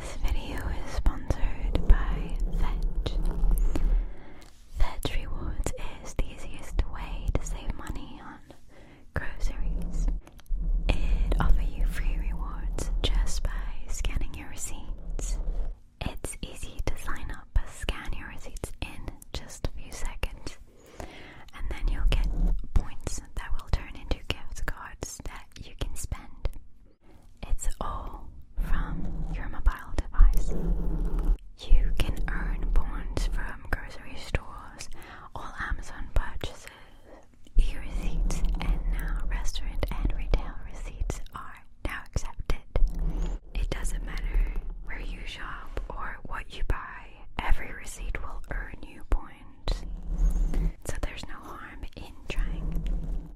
This video is sponsored by Fetch. Fetch Rewards is the easiest way to save money on groceries. It offers you free rewards just by scanning your receipts. It's easy to sign up, scan your receipts in just a few seconds, and then you'll get points that will turn into gift cards that you can spend. It's all from your mobile device. You can earn points from grocery stores, all Amazon purchases, e receipts, and now restaurant and retail receipts are now accepted. It doesn't matter where you shop or what you buy, every receipt will earn you points. So there's no harm in trying.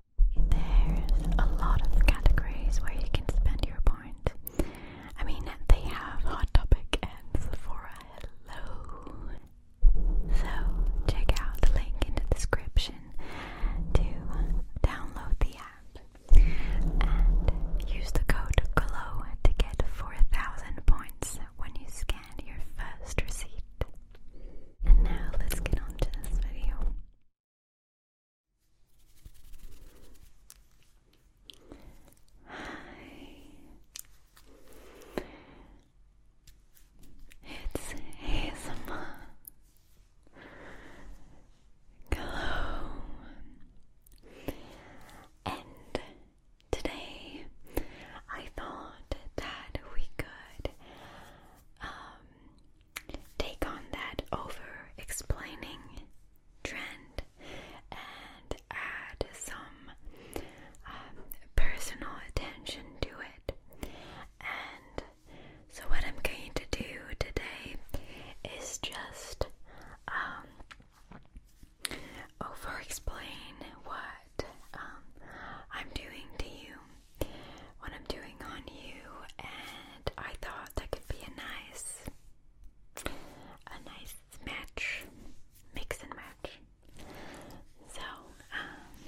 There's a lot of categories where you can spend your point. I mean, they have Hot Topic and Sephora. Hello! So, check out the link in the description to download the app and use the code GLOW to get 4,000 points when you scan had your first receipt. And now let's get on to this video. Hi. It's ASMR. Hello. And today I thought that we could um, take on that over explaining trend and add some um, personal attention to it. And so, what I'm going to do today is just um, over explain what um, I'm doing to you, what I'm doing on you, and I thought that could be a nice, a nice match, mix and match. So, um,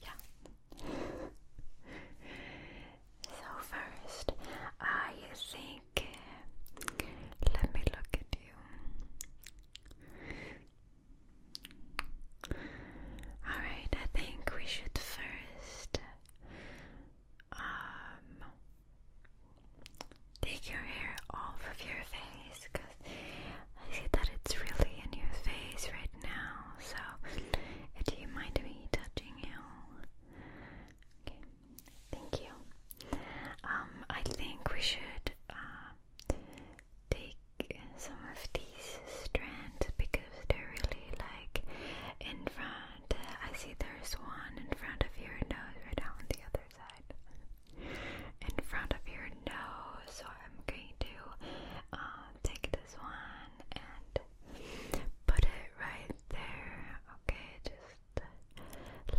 yeah. so first, I think make Let me look at you. Alright, I think we should first um take your hair off of your face because I see that it's really in your face right now. So, do you mind me touching you? Okay, Thank you. Um, I think we should uh, take some of these strands because they're really like in front. I see there's one in front of your nose right on the other side. In front of your nose, so I'm going to uh, take this one and put it right there. Okay, just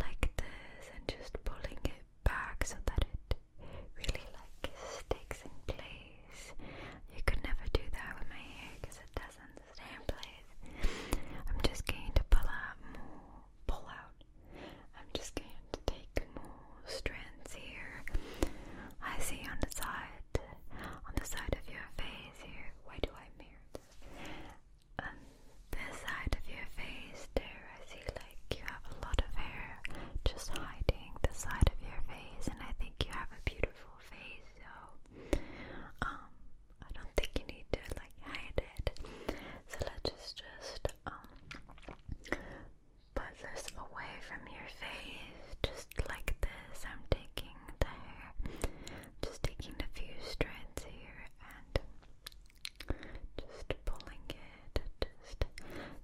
like this and just pulling it back so that it really like sticks in place. You could never do that with my hair because it doesn't stay in place. I'm just going to pull out pull out. I'm just going to take more strands here. I see on the side, on the side of your face here. Why do I mirror this? on this side of your face there I see like you have a lot of hair just hiding the side of your face and I think you have a beautiful face so um I don't think you need to like hide it so let's just just um put this away from your face just like this I'm taking the hair just taking a few strands here and just pulling it, just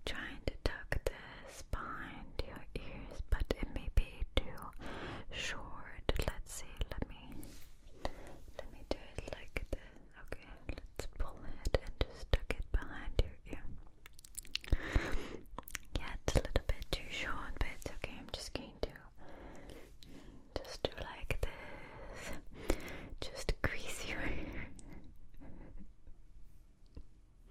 trying to tuck the spine to your ears, but it may be too short. Let's see, let me let me do it like this. Okay, let's pull it and just tuck it behind your ear. Yeah, it's a little bit too short, but it's okay. I'm just going to just do like this. Just crease your hair.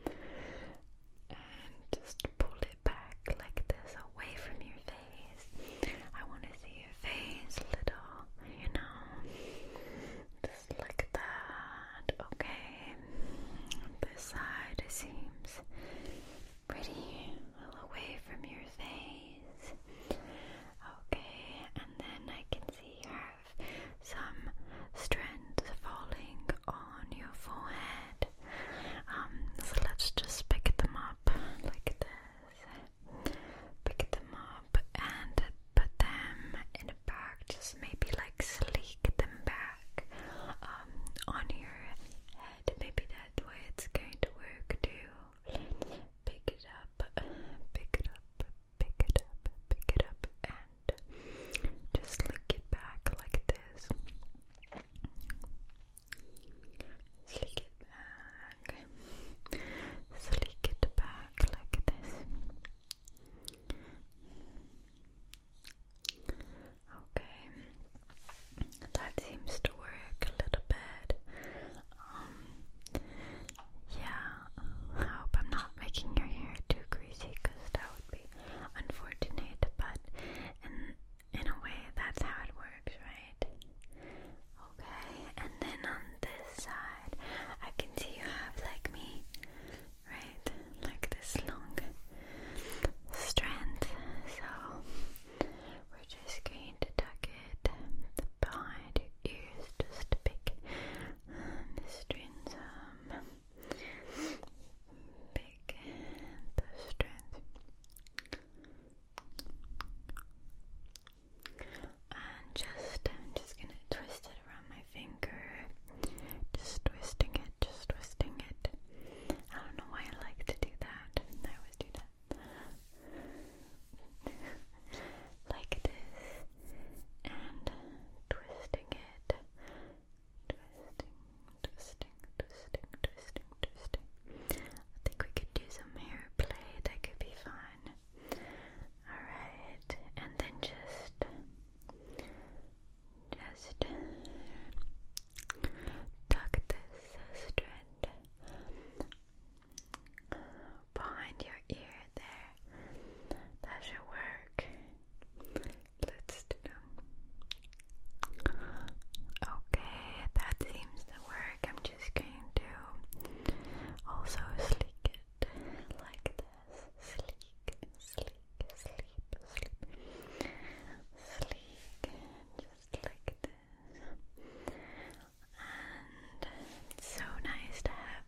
and just pull it back like this away from your face. I want to see your face little, you know. Just like that. Okay. This side seems pretty well away from your face. Okay, and then I can see you have some strands falling on your forehead. Um, so let's just pick them up like this. Pick them up and put them in a bag, just maybe like sleek them back um, on your head. Maybe that way it's going to work too. pick it up, pick it up, pick it up, pick it up, and just slick it back like this. Slick it back. Slick it back like this. Okay, that seems to work a little bit. Um, yeah, I hope I'm not making your hair too greasy because that would be unfortunate, but in, a way, that's how it works, right? Okay, and then on this side, I can see you have, like me, right? Like this long strand, so just going to tuck it behind your ears just to pick um, the strings um, pick the strings and just, I'm just gonna twist it around my finger just twisting it, just twisting it I don't know why I like to do that I always do that like this, and twisting it, twisting, twisting, twisting, twisting, twisting. I think we could do some hair play. That could be fun. All right, and then just, just tuck this strand behind your ear there. That should work. Let's do them. Okay, that seems to work. I'm just going to also sleek it like this. Sleek, sleek, sleep, sleep. Sleek, just like this and so nice to have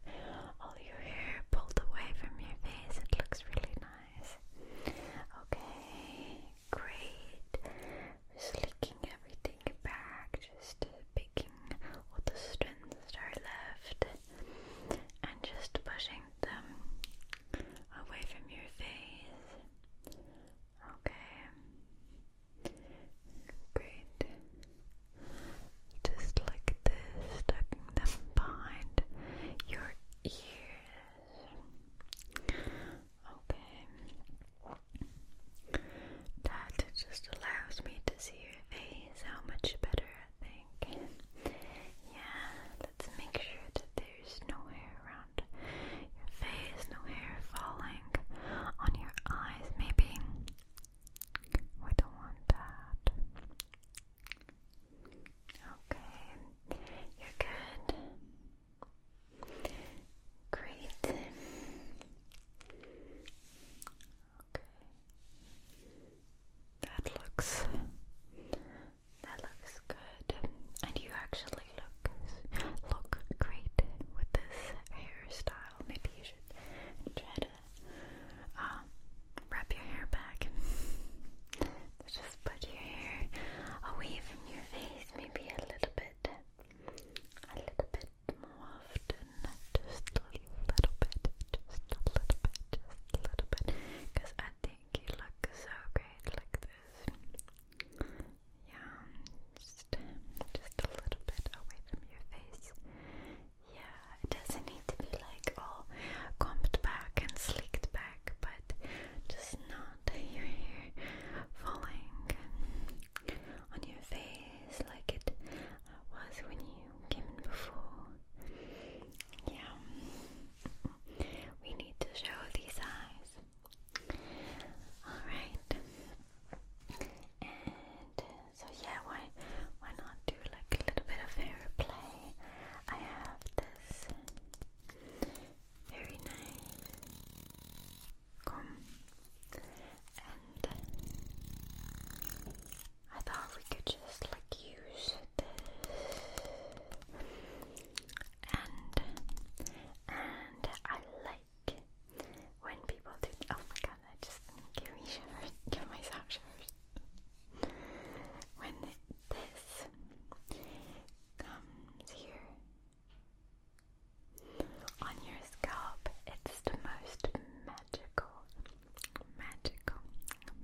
all your hair pulled away from your face. It looks really nice. Okay, great. Slicking everything back, just picking all the strands that are left and just pushing them away from your face. Okay. Great. Just like this, tucking them behind your ears. Okay. That just allows me to see your face how much better I think. Yeah, let's make sure that there's no hair around your face, no hair falling on your eyes, maybe. I don't want that. Okay, you're good. Great. Okay. That looks that looks good. And you actually look look great with this hairstyle. Maybe you should try to um, wrap your hair back just put your hair away from your face, maybe a little bit, a little bit more often, just a little bit, just a little bit, just a little bit, because I think you look so great like this. Yeah, just, just a little bit away from your face. Yeah, it doesn't need to be like all combed back and sleeked back, but just not your hair falling on your face like it was when you came in before. Yeah, we need to show these eyes. Alright, and uh, so yeah, why why not do like a little bit of hair play? I have this very nice comb, and I thought we could just like use this, and and I like when people do. Oh my god, that just gave me shivers. Give myself shivers. when this comes here on your scalp, it's the most magical, magical,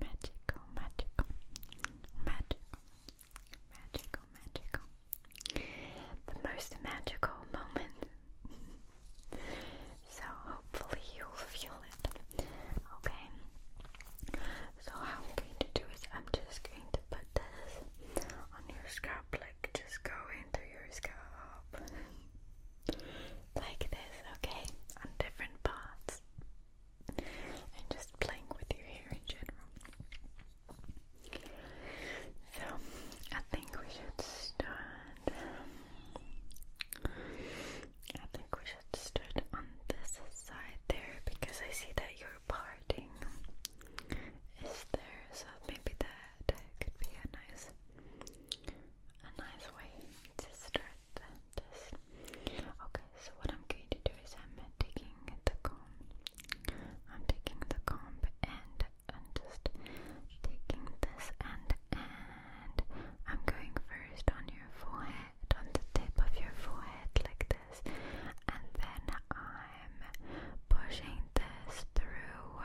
magical, magical, magical, magical, magical, the most magical moment so hopefully you'll feel it. Okay. So how I'm going to do is I'm just going to put this on your scalp, like just go into your scalp. like this, okay? On different parts. And just playing with your hair in general. So, I think we should start. I think we should start on this side there because I see that you're parting is there, so maybe that could be a nice, a nice way to start Okay, so what I'm going to do is I'm taking the comb. I'm taking the comb and I'm just taking this end and I'm going first on your forehead, on the tip of your forehead like this, and then I'm pushing this through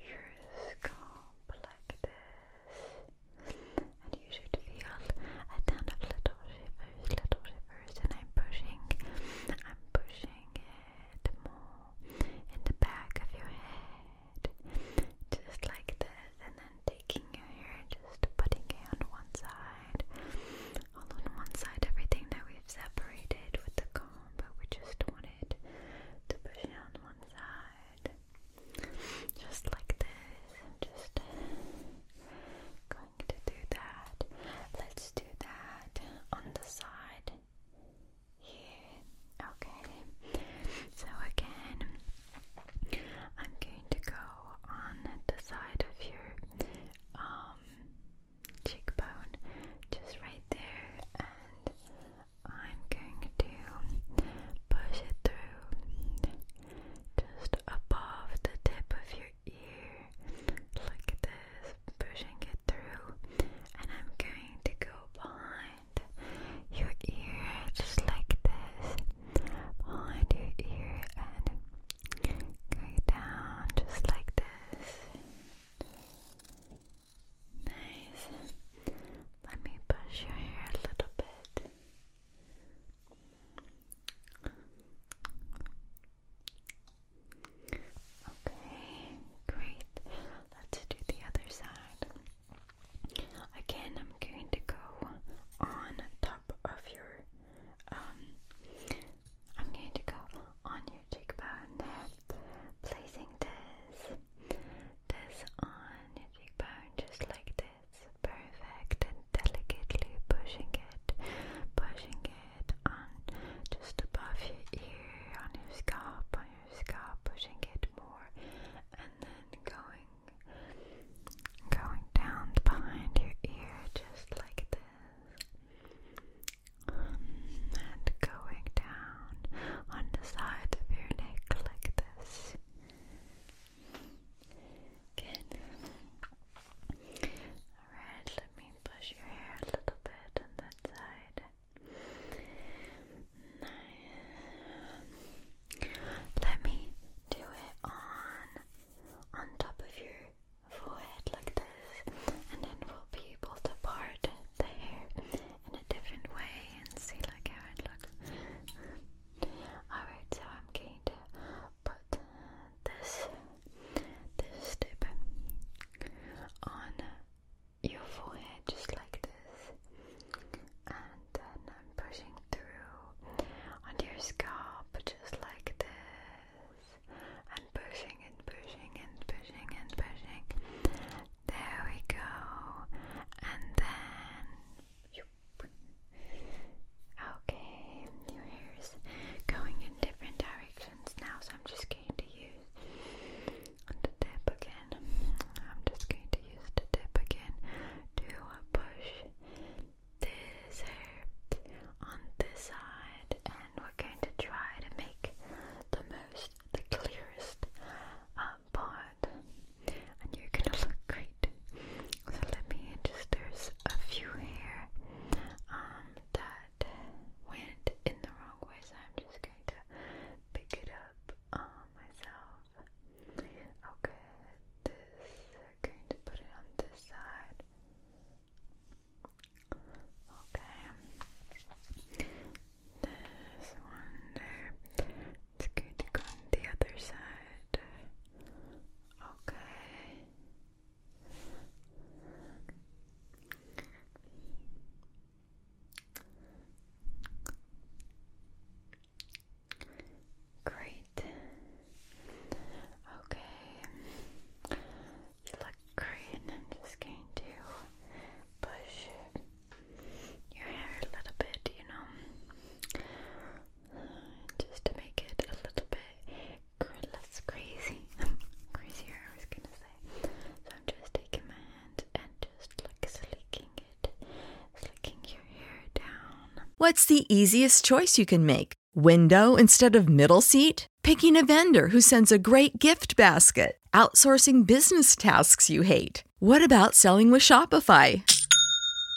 your scalp like this. And you should feel a ton of little shivers, little shivers, and I'm pushing, I'm pushing it more in the back of your head, just like this, and then taking your hair, and just putting it on one side, all on one side, everything that we've separated with the comb, but we just wanted to push it on one side, just like this, and just going to do that. Let's do that on the side here. Okay, so again, I'm going to go on the side of your um, cheekbone, just right there, and I'm going to push it through just above the tip of your ear. Look at that pushing it through, and I'm going to go behind your ear just like this, behind your ear, and going down just like this. Nice. Let me push your hair a little bit. Okay, great. Let's do the other side. Again, I'm going to go on top of your, um, I'm going to go on your cheekbone, placing this, this on your cheekbone, just like this. Perfect, and delicately pushing it, pushing it on just above your ear, on your scalp, on your scalp, pushing it more, and then going going down behind your ear just like this. And going down on the side of your neck like this. Good. Alright, let me push your hair a little bit on that side. No. Let me do it on on top of your forehead like this, and then we'll be able to part the hair in a different way and see like how it looks. Alright, so I'm going to put this this tip on your forehead just like this, and then I'm pushing through onto your scalp just like this, and pushing and pushing and pushing and pushing. There we go, and then. Okay, your hair is going in different directions now, so I'm just going to use the tip again. I'm just going to use the dip again Do a push this hair on this side, and we're going to try to make the most, the clearest um, part. And you're gonna look great. So let me just. There's a few hair um, that went in the wrong way, so I'm just going to pick it up um, myself. Okay, this, going to put it on this side. Okay, this one there. It's going to go on the other side. Okay. Great. Okay. You look great. I'm just going to push your hair a little bit, you know, just to make it a little bit less crazy. Crazier, What's the easiest choice you can make? Window instead of middle seat? Picking a vendor who sends a great gift basket? Outsourcing business tasks you hate? What about selling with Shopify?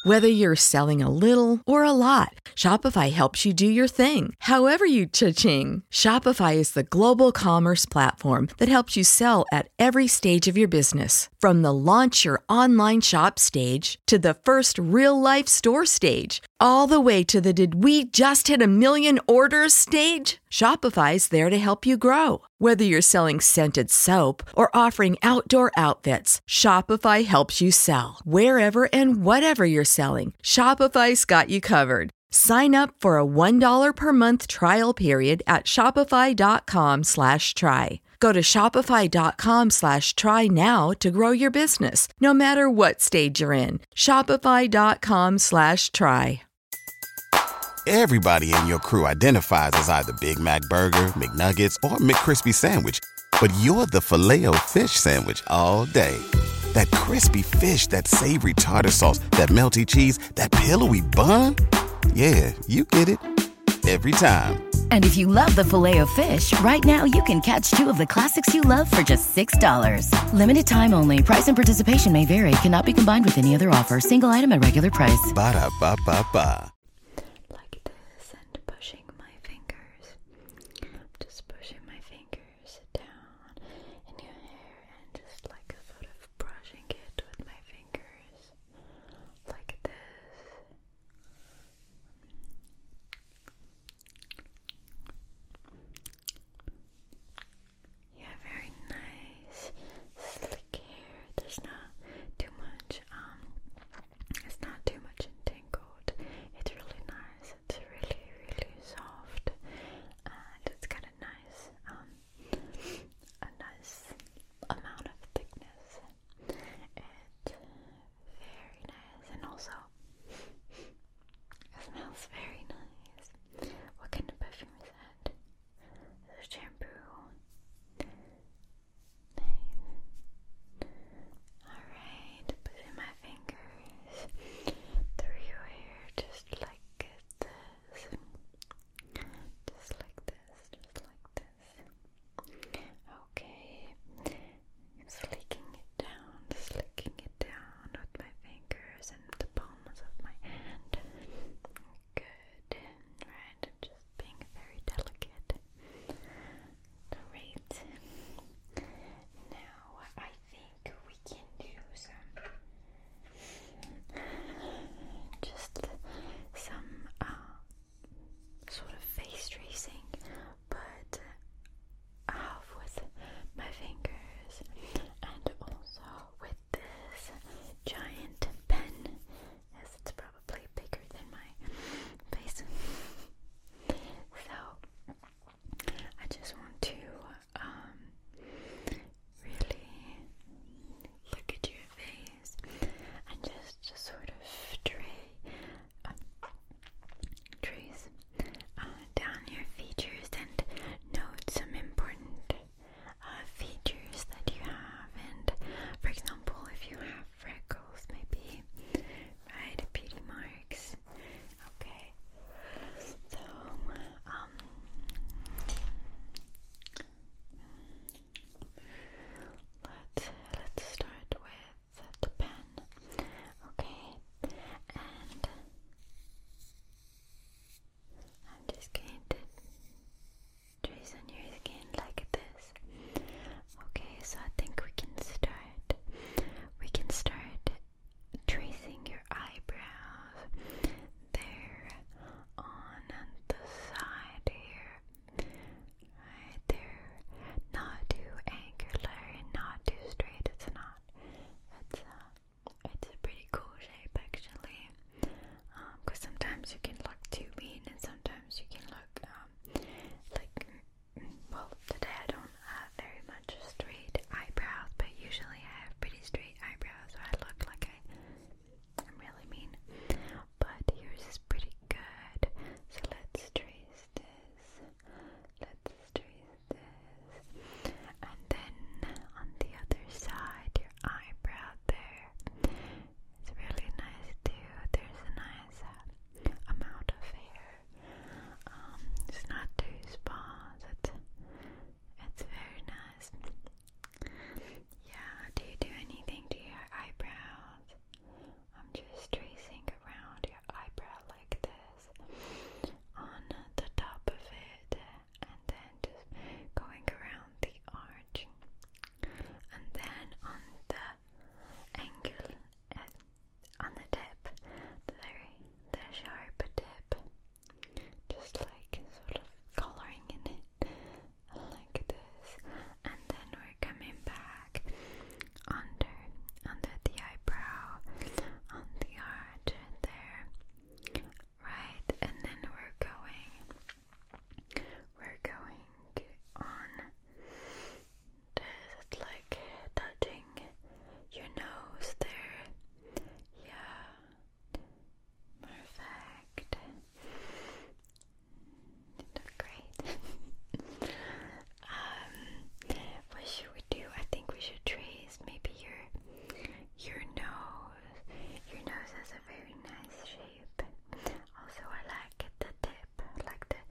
Whether you're selling a little or a lot, Shopify helps you do your thing, however you cha-ching. Shopify is the global commerce platform that helps you sell at every stage of your business. From the launch your online shop stage to the first real life store stage, all the way to the did we just hit a million orders stage? Shopify's there to help you grow. Whether you're selling scented soap or offering outdoor outfits, Shopify helps you sell. Wherever and whatever you're selling, Shopify's got you covered. Sign up for a $1 per month trial period at Shopify.com slash try. Go to Shopify.com slash try now to grow your business, no matter what stage you're in. Shopify.com slash try. Everybody in your crew identifies as either Big Mac Burger, McNuggets, or McCrispy Sandwich, but you're the filet fish Sandwich all day that crispy fish, that savory tartar sauce, that melty cheese, that pillowy bun. Yeah, you get it every time. And if you love the filet of fish, right now you can catch two of the classics you love for just $6. Limited time only. Price and participation may vary. Cannot be combined with any other offer. Single item at regular price. Ba da ba ba ba. Like this and pushing my fingers. Just pushing my fingers sit down in your hair and just like sort of brushing it with my fingers like this. You have very nice slick hair. There's not too much, um, it's not too much entangled. It's really nice. It's really, really soft, and it's kind nice, um, a nice amount of thickness. It's very nice, and also smells very nice. What kind of perfume is that? Is shampoo? Alright, put my fingers through your hair just like this just like this, just like this okay I'm slicking it down, slicking it down with my fingers and the palms of my hand good, right, just being very delicate great now I think think we can do some just some uh, sort of face tracing, but half with my fingers and also with this giant pen. Yes, it's probably bigger than my face. so I just want to um, really look at your face and just, sort of tra um, trace uh, down your features and note some important uh, features that you have. And for example, if you have freckles, maybe right beauty marks. Okay, so, um, let let's start with the pen, okay? And I'm just going to trace on your skin like this. Okay, so I think we can start. We can start tracing your eyebrows there on the side here. Right there. Not too angular and not too straight. It's not. It's uh it's a pretty cool shape actually. Um, cause sometimes you can look too mean and sometimes you can look um, like mm, well today I don't I very much straight eyebrows, but usually I have pretty straight eyebrows, so I look like I, am really mean. But yours is pretty good, so let's trace this. Let's trace this, and then on the other side, your eyebrow there. It's really nice too. There's a nice uh, amount of hair. Um, it's not too sparse. It's very nice. Yeah, do you do anything to your eyebrows? I'm just tracing around your eyebrow like this on the top of it and then just going around the arch and then on the angle, uh, on the tip, the very the sharp tip just like sort of coloring in it like this and then we're coming back under under the eyebrow on the arch there right and then we're going we're going on this like touching your nose there yeah Perfect. You great. Um, what should we do? I think we should trace maybe your your nose. Your nose has a very nice shape. Also, I like the tip, like the,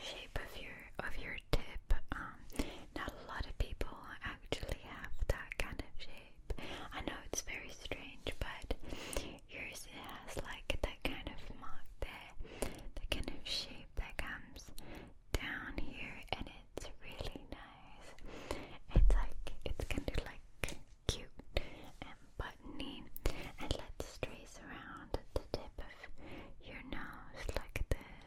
shape of your of your tip. Um, not a lot of people actually have that kind of shape. I know it's very strange, but yours has like that kind of mark there, the kind of shape that comes down here, and it's really nice. It's like it's kind of like cute and buttony, and let's trace around the tip of your nose like this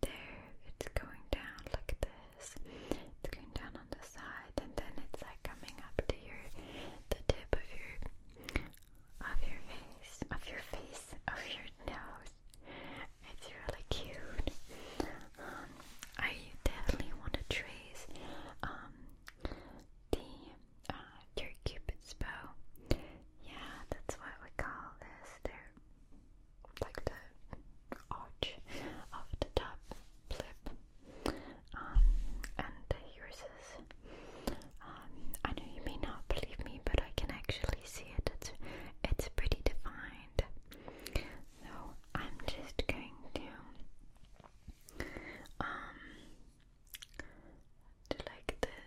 there, it's going down like this, it's going down on the side, and then it's like coming up to your, the tip of your, of your face, of your face, of your nose. It's really cute. Um, I definitely want to trace um, the uh, your cupid's bow. Yeah, that's what we call this. they like the arch of the top lip. Um, and yours is. Um, I know you may not believe me, but I can actually see it. It's it's pretty defined. So I'm just going to um do like this.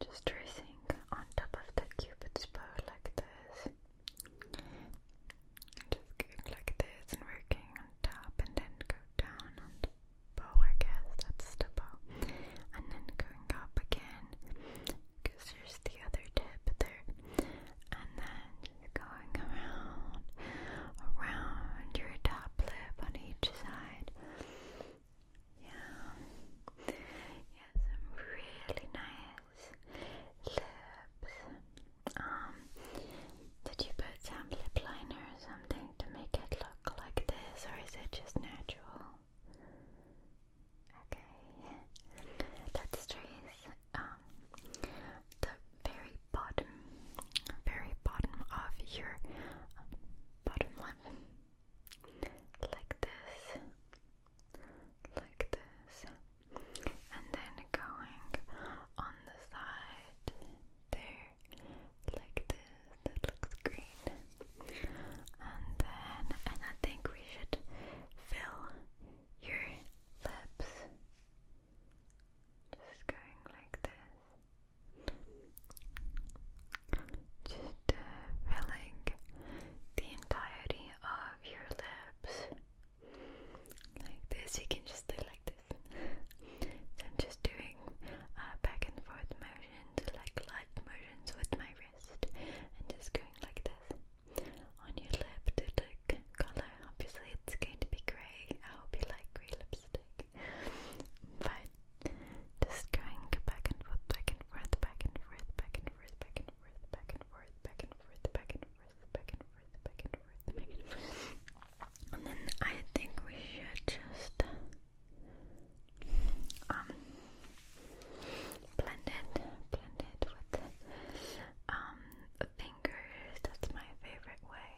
Just tracing on top of the cupid's bow like this. Just going like this and working on top and then go down and bow, I guess, that's the bow. And then going up again, because here's the other tip there. And then just going around, around your top lip on each side. Yeah. Yeah, really nice lips. Um, did you put some lip liner or something to make it look like this, or is it just natural? Okay, let's trace um, the very bottom, very bottom of your um, bottom lip, like this like this, and then going on the side there, like this. That looks great. And then, and I think we should fill your lips. Just going like this. Just uh, filling the entirety of your lips. Like this, you can just do like this. so just doing uh, back and forth motions, like light motions with my wrist, and just going like this on your lip to look color. Obviously, it's going to be grey. I hope you like grey lipstick, but just going back and forth, back and forth, back and forth, back and and forth, back and forth, back and forth, back and forth, back and forth, back and forth, back and forth, back and forth. And then I think we should just um, blend it, blend it with um, fingers. That's my favorite way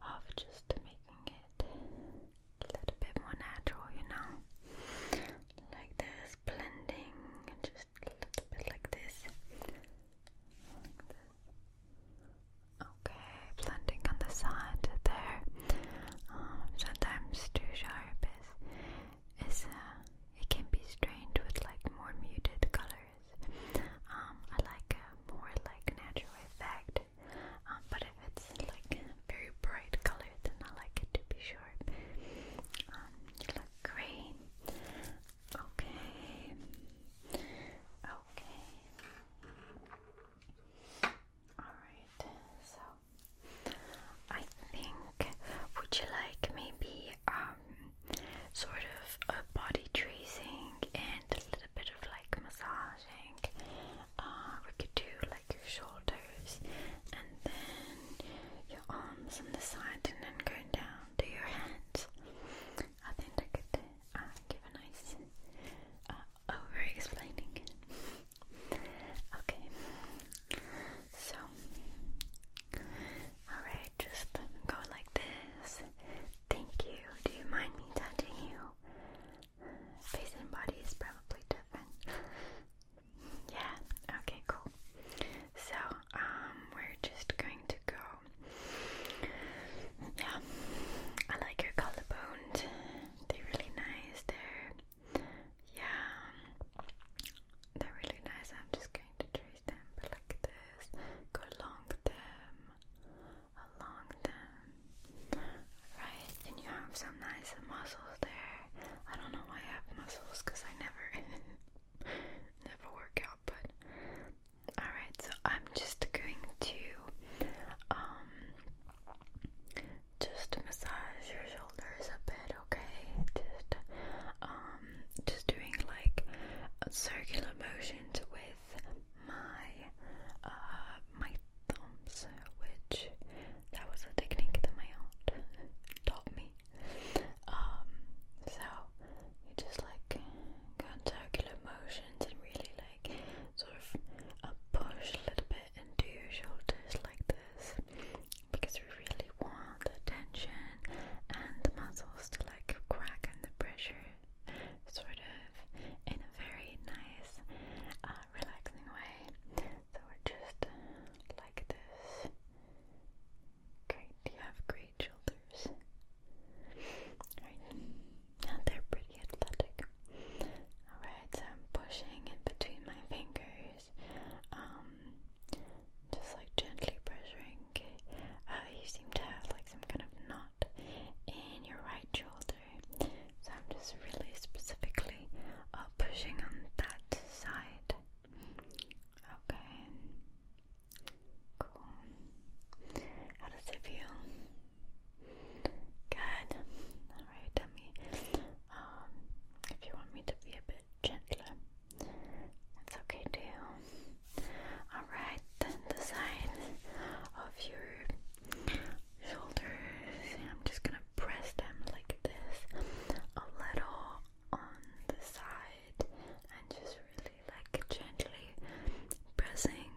of just making it a little bit more natural, you know, like this blending just a little bit like this. Okay, blending on the side there. Um, sometimes too sharp is, is uh, it can be strained with like more muted colors. Um, I like more like natural effect, um, but if it's like very bright color, then I like it to be sharp. Um, you look great. Okay. Okay. Alright, so I think would you like maybe um sort of a body tracing and a little bit of like massaging? Uh, we could do like your shoulders and then your arms on the side and then going down to your hands. I think I could uh, give a nice uh, over explaining. okay, so alright, just go like this. Thank you. Do you mind me touching you? Face and body is probably different. Yeah, okay, cool. So, um, we're just going to go. Yeah, I like your collarbones, they're really nice. They're, yeah, they're really nice. I'm just going to trace them like this, go along them, along them. Right, and you have some nice muscles there. I don't know why I have muscles because I never never work out but alright so I'm just going to um, just massage your shoulders a bit okay just um just doing like circular motions with my uh, my thumbs which that was a technique that my aunt taught me. Um, so you just like go in circular motions and really like sort of uh, push a little bit into your shoulders like this because we really want the tension and the muscles to like crack and the pressure sort of in a very nice uh, relaxing way so just like this. Great, you have great shoulders. Right, and they're pretty athletic. Alright, so I'm pushing in between my fingers, um, just like gently pressuring. Uh, you seem to have like some kind of knot in your right shoulder, so I'm just really specifically gently or pushing on that side. Okay. Cool. How does it feel? Good. Alright, tell um, if you want me to be a bit gentler. That's okay too. Alright, then the side of your shoulders. I'm just gonna press them this, a little on the side, and just really like gently pressing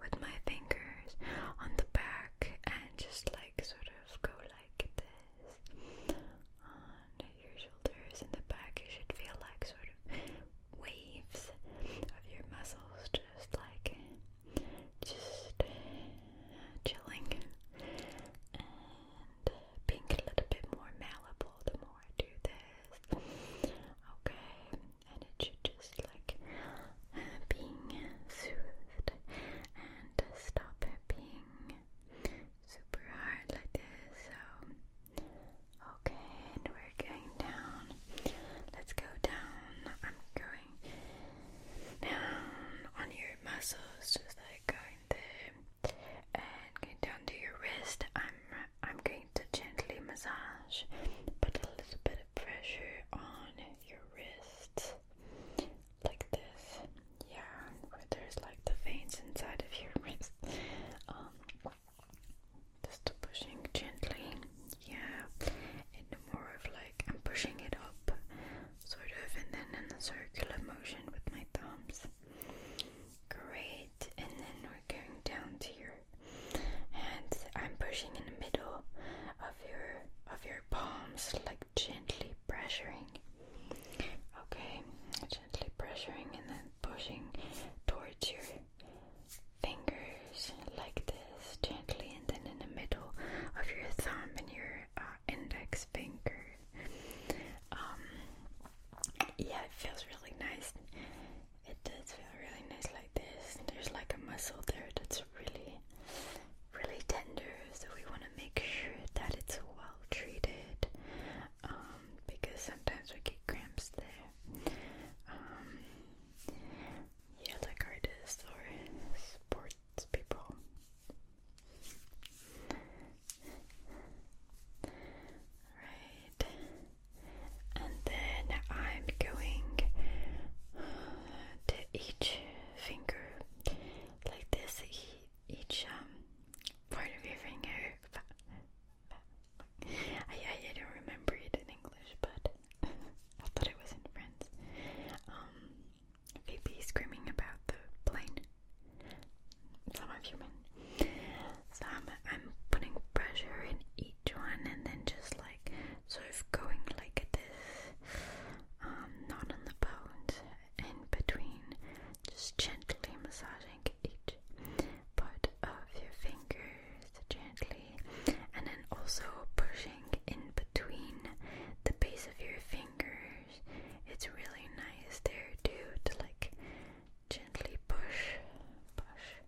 with my fingers on the back, and just like sort of go like this on your shoulders and the back. You should feel like sort of waves of your muscles, just like just chilling and being a little bit more malleable the more I do this. Okay, and it should just like uh, being soothed and stop being super hard like this. So, okay, and we're going down. Let's go down. I'm going down on your muscles, just like going there and going down to your wrist. I'm I'm going to gently massage, put a little bit of pressure on your wrist, like this. Yeah, where there's like the veins inside of your wrist. Um, just pushing gently. Yeah, and more of like like I'm pushing it up, sort of, and then in a circular motion with my thumbs. Great, and then we're going down to your hands. I'm pushing in the middle of your of your palms, like gently pressuring. Okay, gently pressuring and then pushing towards your fingers like this, gently, and then in the middle of your thumb and your uh, index finger. Um, yeah, it feels really nice. It does feel really nice like this. There's like a muscle there that's really, really tender. So we want to make sure that it's well treated um, because sometimes we get cramps there. Um, yeah, like artists or sports people Right, and then I'm going to each finger like this, each um, part of your finger. I, I, don't remember it in English, but I thought it was in French. Um, Phoebe screaming about the plane. Some of So I'm, putting pressure in each one and then just like sort of going like this, um, on the bones, in between, just gently massaging each part of your fingers gently and then also pushing in between between the base of your fingers. It's really nice there too to like gently push, push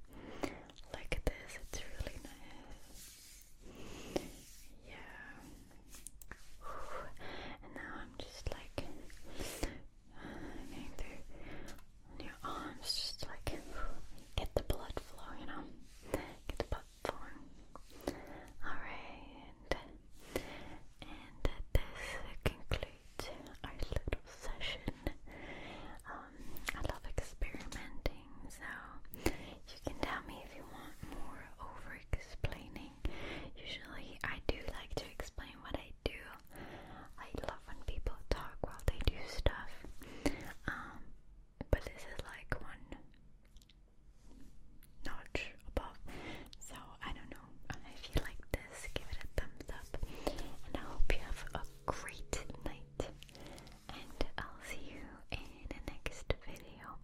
like this. It's really nice. Yeah. And now I'm just like getting through your arms, just like get the blood flow, you know, get the blood Alright, and this concludes our little session. Um, I love experimenting, so you can tell me if you want more over explaining. Usually, I do like to explain what I do. I love when people talk while they do stuff. Um, but this is like one notch above. So I don't know. If you like this, give it a thumbs up. And I hope you have a great night. And I'll see you in the next video.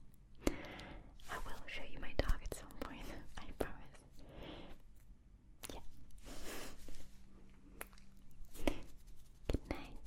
I will show you my dog at some point, I promise. Yeah. Good night.